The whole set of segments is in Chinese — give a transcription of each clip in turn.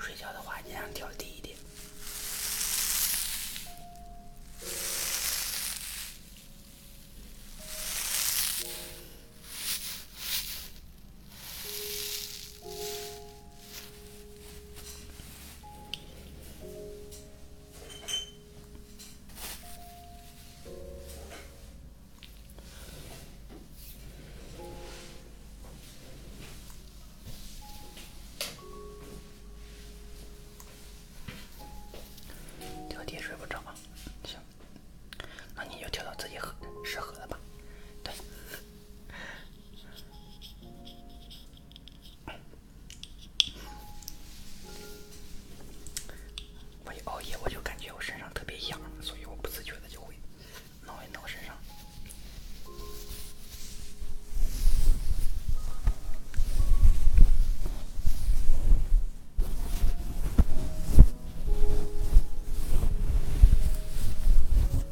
睡觉的话，音量调低一点。调题睡不着吗？行，那你就调到自己合适合的吧。对。我一熬夜，我就感觉我身上特别痒，所以我不自觉的就会挠一挠身上。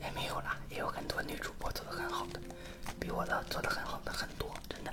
也没有啦，也有很多女主播做的很好的，比我的做的很好的很多，真的。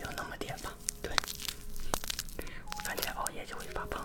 有那么点吧，对。反正熬夜就会发胖。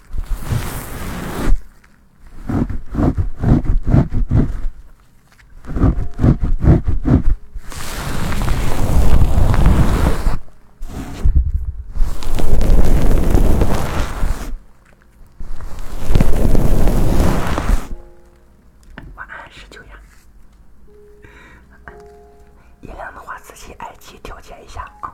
晚安，十九阳音量的话，自己耳机调节一下啊。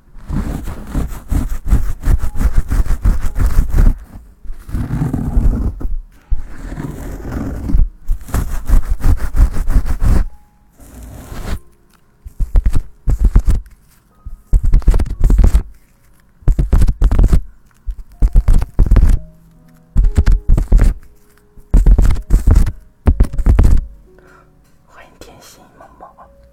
欢迎甜心萌宝。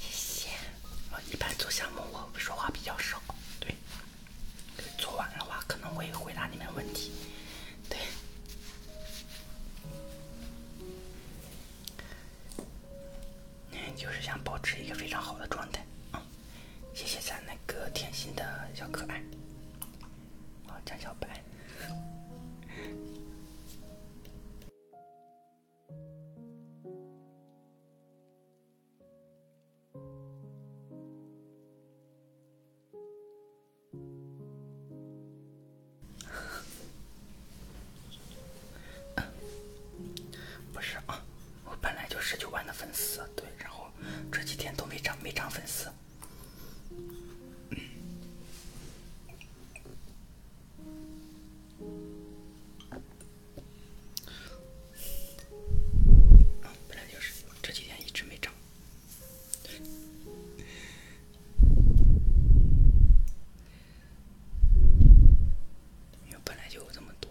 谢谢。我一般做项目，我说话比较少，对。做完的话，可能会回答你们问题，对。嗯，就是想保持一个非常好的状态。谢谢咱那个甜心的小可爱，我叫小白。不是啊。我本来就十九万的粉丝，对，然后这几天都没涨，没涨粉丝。本来就是，这几天一直没涨，因为本来就有这么多。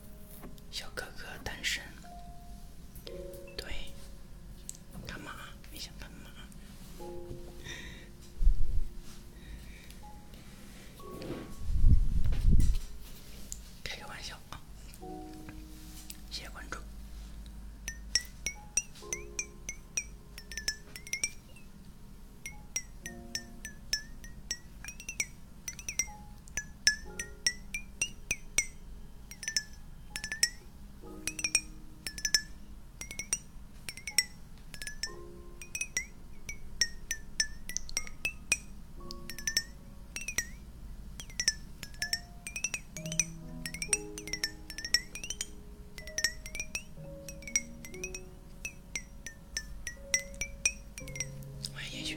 小哥哥单身，对，干嘛？你想干嘛？开个玩笑啊！谢谢关注。我也叶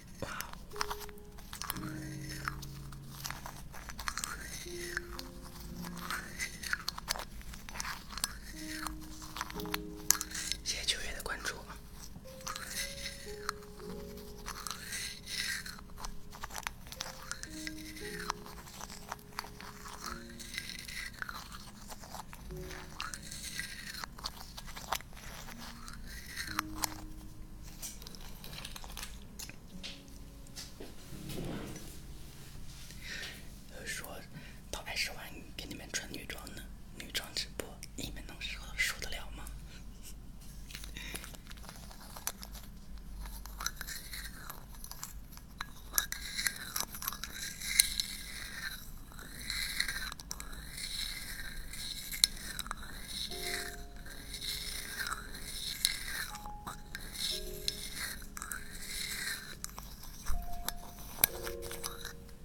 谢谢九月的关注。说，到二十万给你们穿女装呢，女装直播，你们能受受得了吗？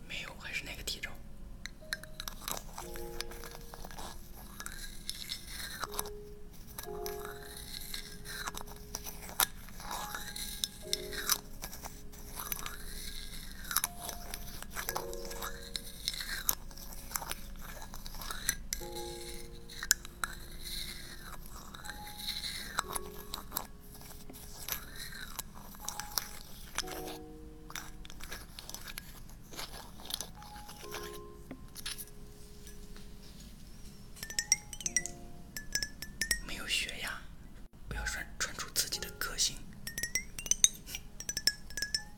没有，还是那个低照。没有学呀，不要穿穿出自己的个性。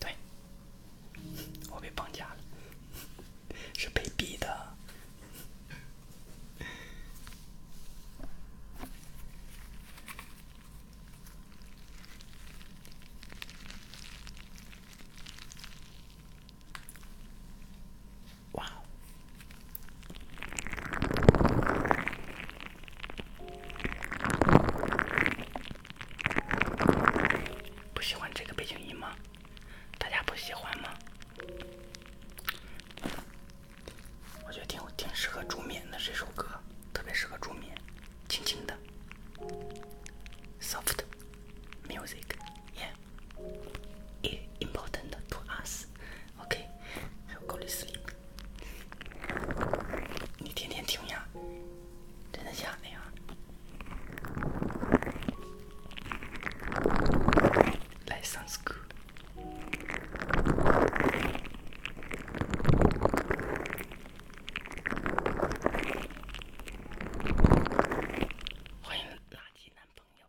对，我被绑架了，是被逼的。哇！不喜欢这个背景音吗？大家不喜欢吗？我觉得挺适合助眠的这首歌，特别适合助眠，轻轻的，soft music，yeah，it important to us，OK，还有 go to sleep。你天天听呀？真的假的呀？来上 o 歌。欢迎垃圾男朋友。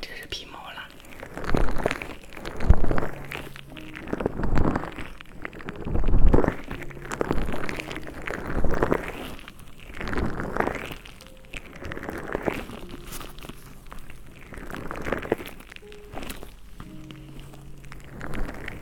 这是皮毛了。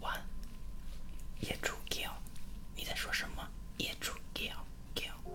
One，野猪 girl，你在说什么？野猪 girl girl。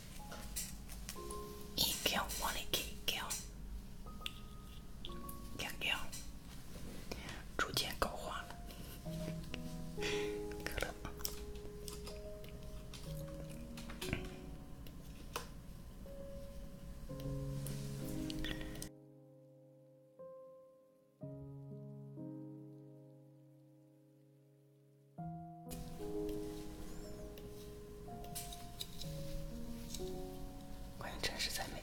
一调，往里一调，调调，逐渐搞化了，可乐。关于城市赞美。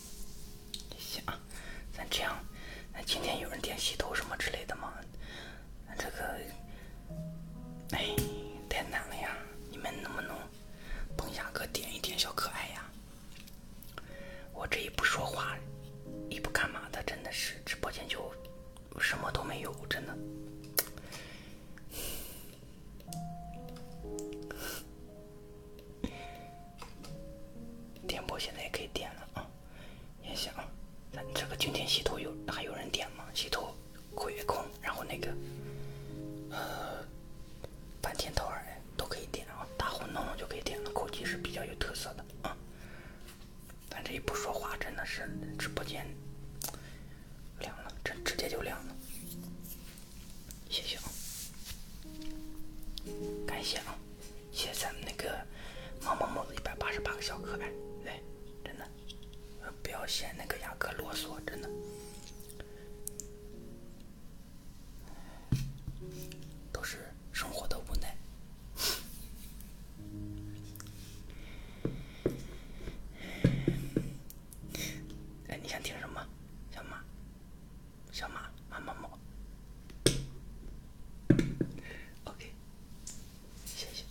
行啊，咱这样，那今天有人点洗头什么之类的吗？那这个，哎，太难了呀！你们能不能，帮下哥点一点小可爱呀？我这一不说话，一不干嘛的，真的是直播间就什么都没有，真的。点播现在也可以点了啊，也行啊。咱这个今天洗头有还有人点吗？洗头、鬼空，然后那个呃，半天头儿都可以点啊。大伙弄弄就可以点了，口技是比较有特色的啊。咱这一不说话，真的是直播间凉了，这直接就凉了。谢谢啊，感谢啊，谢谢咱们那个毛某某的一百八十八个小可爱，来，真的，不要嫌那个雅各啰嗦，真的，都是生活的无奈。哎，你想听什么，小马？小马，马么么，OK，谢谢。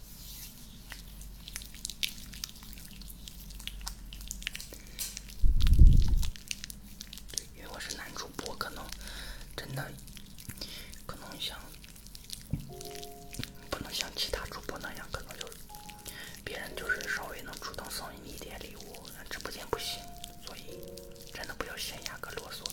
对，因为我是男主播，可能真的可能像不能像其他主播那样，可能就别人就是稍微能主动送你一点礼物，直播间不行。所以，真的不要嫌牙哥啰嗦。